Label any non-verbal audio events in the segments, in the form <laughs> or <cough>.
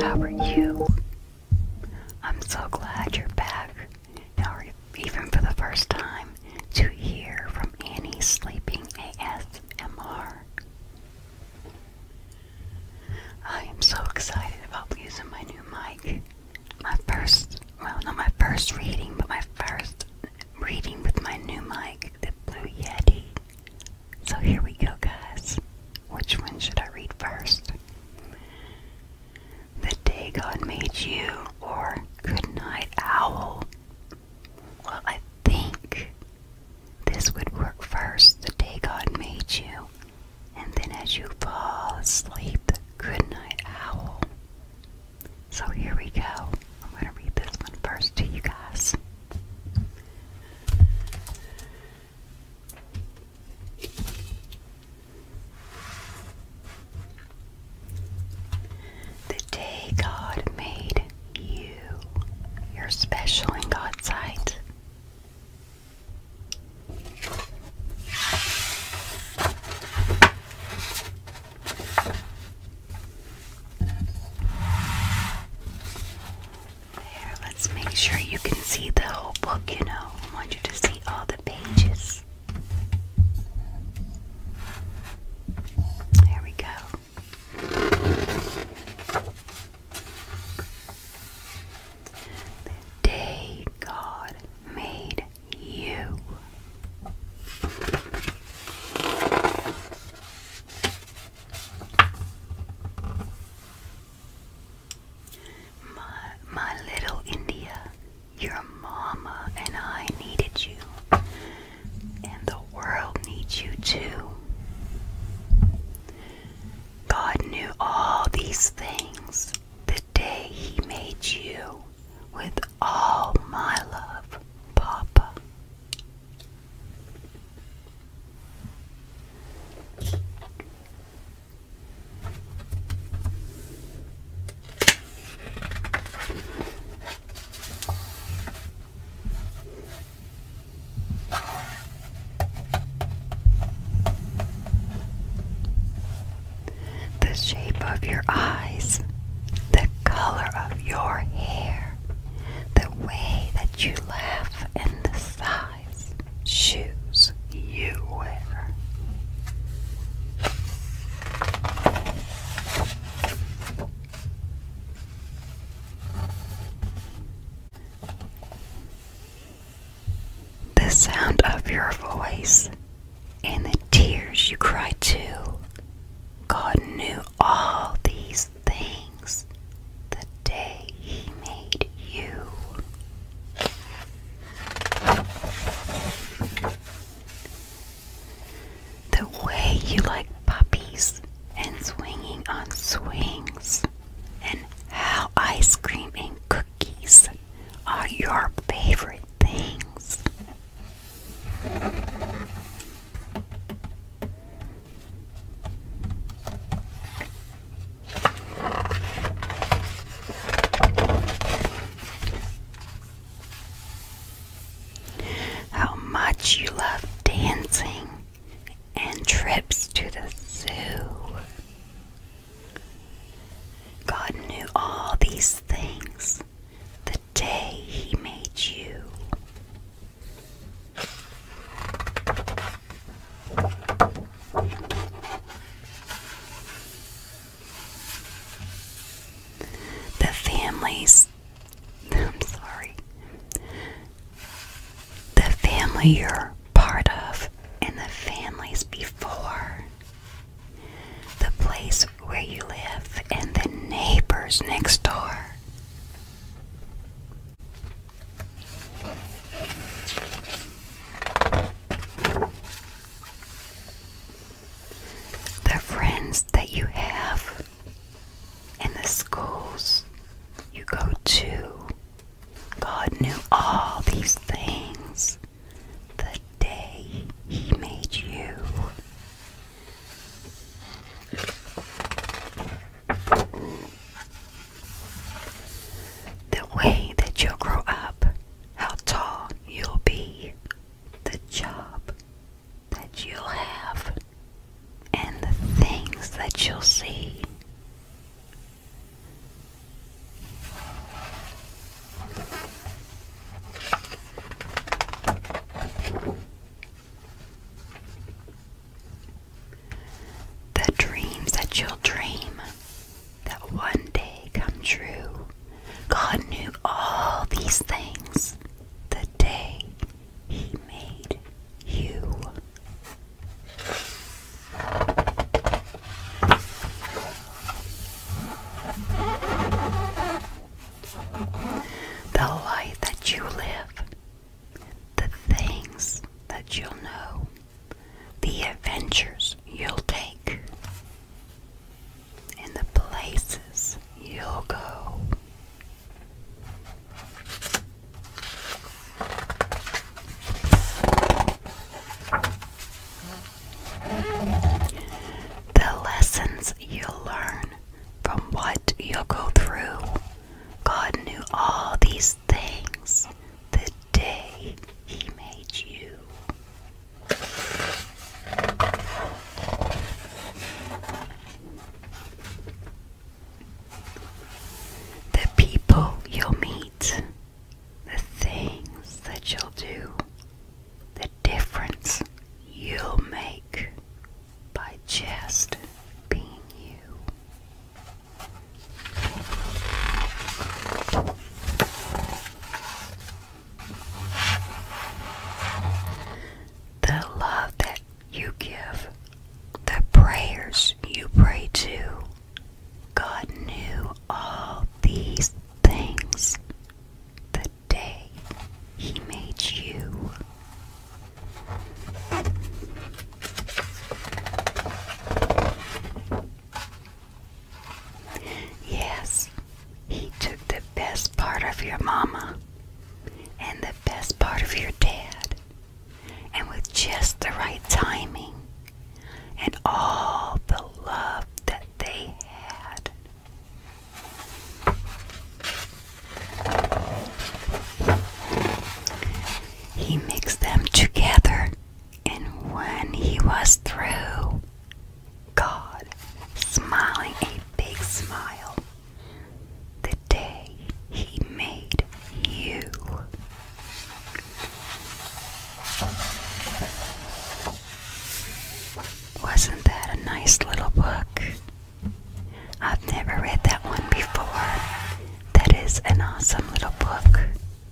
How are you? I'm so glad you're back, Now, even for the first time, to hear from any Sleeping ASMR. I am so excited about using my new mic. My first, well, not my first reading, but my first reading with my new mic, the Blue Yeti. So here we go, guys. Which one should I read first? The Day God Made You or Good Night Owl? Well, I think this would work first. The Day God Made You and then as you fall asleep, good night, owl. So here we go. I'm going to read this one first to you guys. The day God made you, you're special in God's sight. There, let's make sure you can see the whole book, you know. I want you to see all the pages. There we go the day God made you. My, my little India, your mama and I needed you, and the world needs you too. God knew all these things the day He made you with all my love, Papa. The shape of your eyes, the color of your hair, the way that you laugh, and the size shoes you wear. The sound of your voice and the tears you cry too. God knew all these things the day He made you. The way you like puppies and swinging on swings and how ice cream and cookies are your favorite things. How much you love dancing and trips to the zoo. God knew all these things the day He made you. The families, <laughs> I'm sorry, the family you're part of and the families before, the place where you live and the neighbors next door. The friends that you have and the schools you go to God knew all these things the day He made you. The way that you'll grow up, how tall you'll be, the job that you'll have, and the things that you'll see the dreams that you'll dream that one day come true. God knew all these things the day He made you. The life that you live, the things that you'll know, the adventures you'll take, and the places you'll go. The lessons you'll learn from what you'll go through. God knew all these things the day He made you. The people you'll meet the things that you'll do, the difference you'll make by just being you. The love that you give, the prayers you pray to, God knew all these things the day He made you. Yes, He took the best part of your mama and the best part of your dad and with just the right timing and all the love that they had. He mixed them together, and when he was through, God, smiling a big smile, the day he made you. Wasn't that a nice little book? I've never read that one before. That is an awesome little book.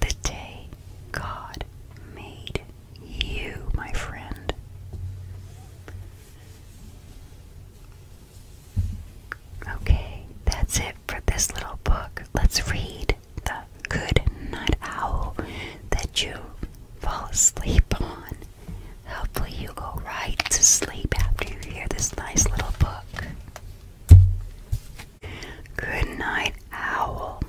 The day God made you, my friend. Okay, that's it for this little book. Let's read The Good night Owl that you fall asleep on. Hopefully, you go right to sleep after you hear this nice little book. Good night, owl.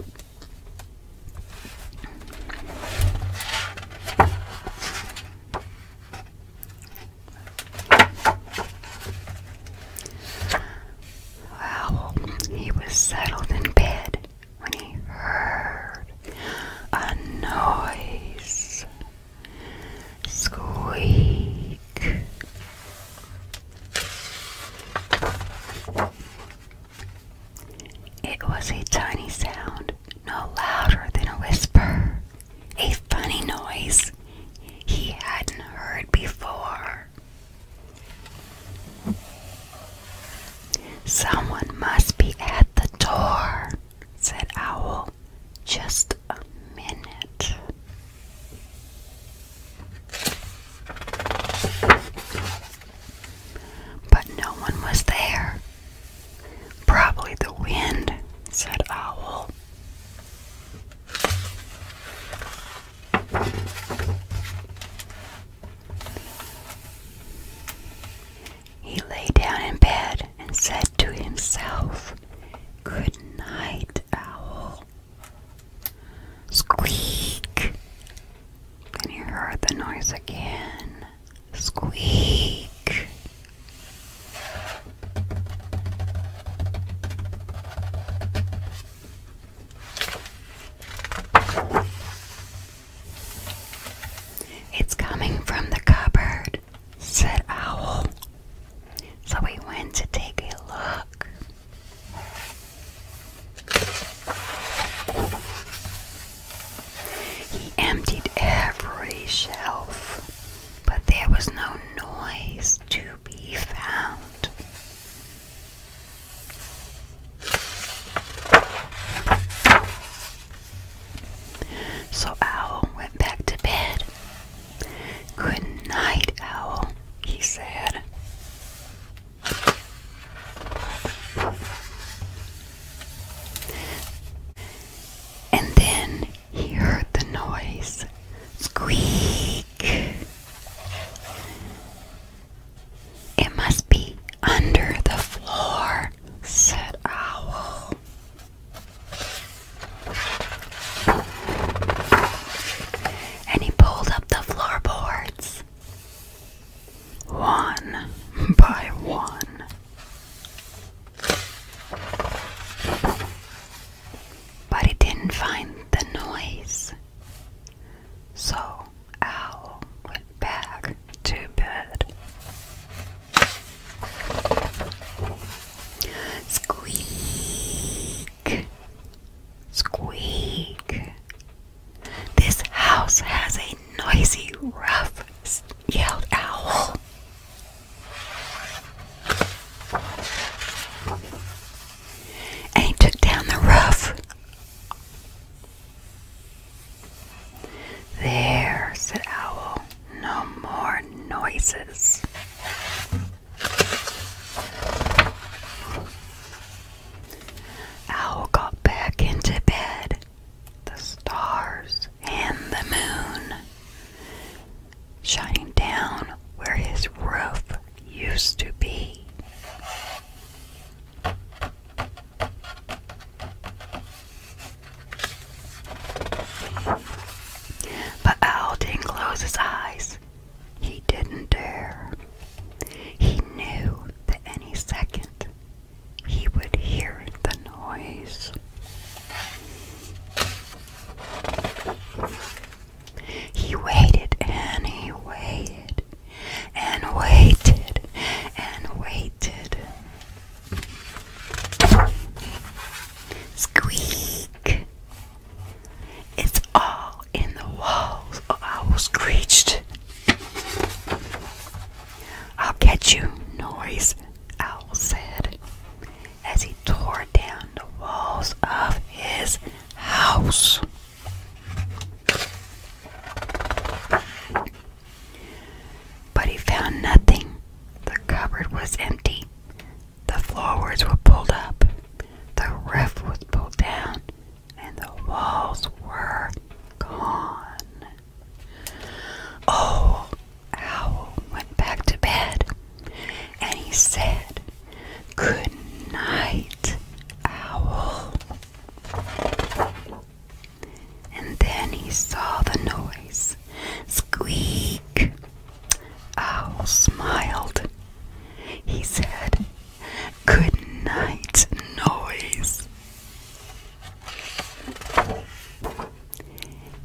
Owl. He was settled in bed when he heard a noise. Squeak. It was a tiny sound, no louder than a whisper. A funny noise he hadn't heard before. Someone must be at the door, said Owl. Just a minute. But no one was there. Probably the wind, said Owl. He lay down in bed and said to himself, Good night, owl. Squeak! Then he heard the noise again. Squeak! It's coming from the cupboard, said Owl. So we went to take a look. He emptied every shelf, but there was no noise to be found. So Owl went back to bed. Good night, Owl, he said. And then he heard the noise squeak it must be under the floor, said Owl. And he pulled up the floorboards one by one. But he didn't find the noise. So Owl went back to bed. Squeak! Squeak! This house has a noisy rough, yelled Owl and he took down the roof. There, said Owl, no more noises. Owl got back into bed. The stars and the moon shining down where his roof used to be. But Owl didn't close his eyes. He didn't dare. He knew that any second he would hear the noise. He waited and he waited and waited and waited. Squeak! It's all in the walls, of our will screeched. I'll catch you, noise, Owl said, as he tore down the walls of his house. But he found nothing. The cupboard was empty. The floors were pulled up. The roof was pulled down. And the walls were gone. Oh, Owl went back to bed and he said, Good night, owl. And then he saw the noise squeak. Owl smiled. He said, Good night, noise.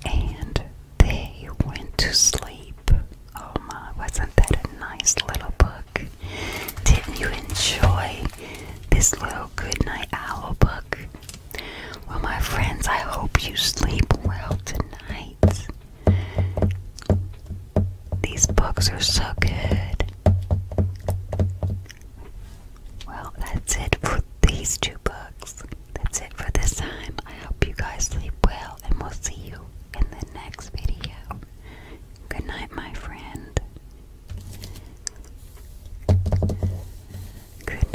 And they went to sleep. Oh my, wasn't that a nice little book? Didn't you enjoy this little Goodnight Owl book? Well, my friends, I hope you sleep well tonight. These books are so good. Well, that's it for these two books. That's it for this time. I hope you guys sleep well, and we'll see you in the next video. Good night, my friend. Good night.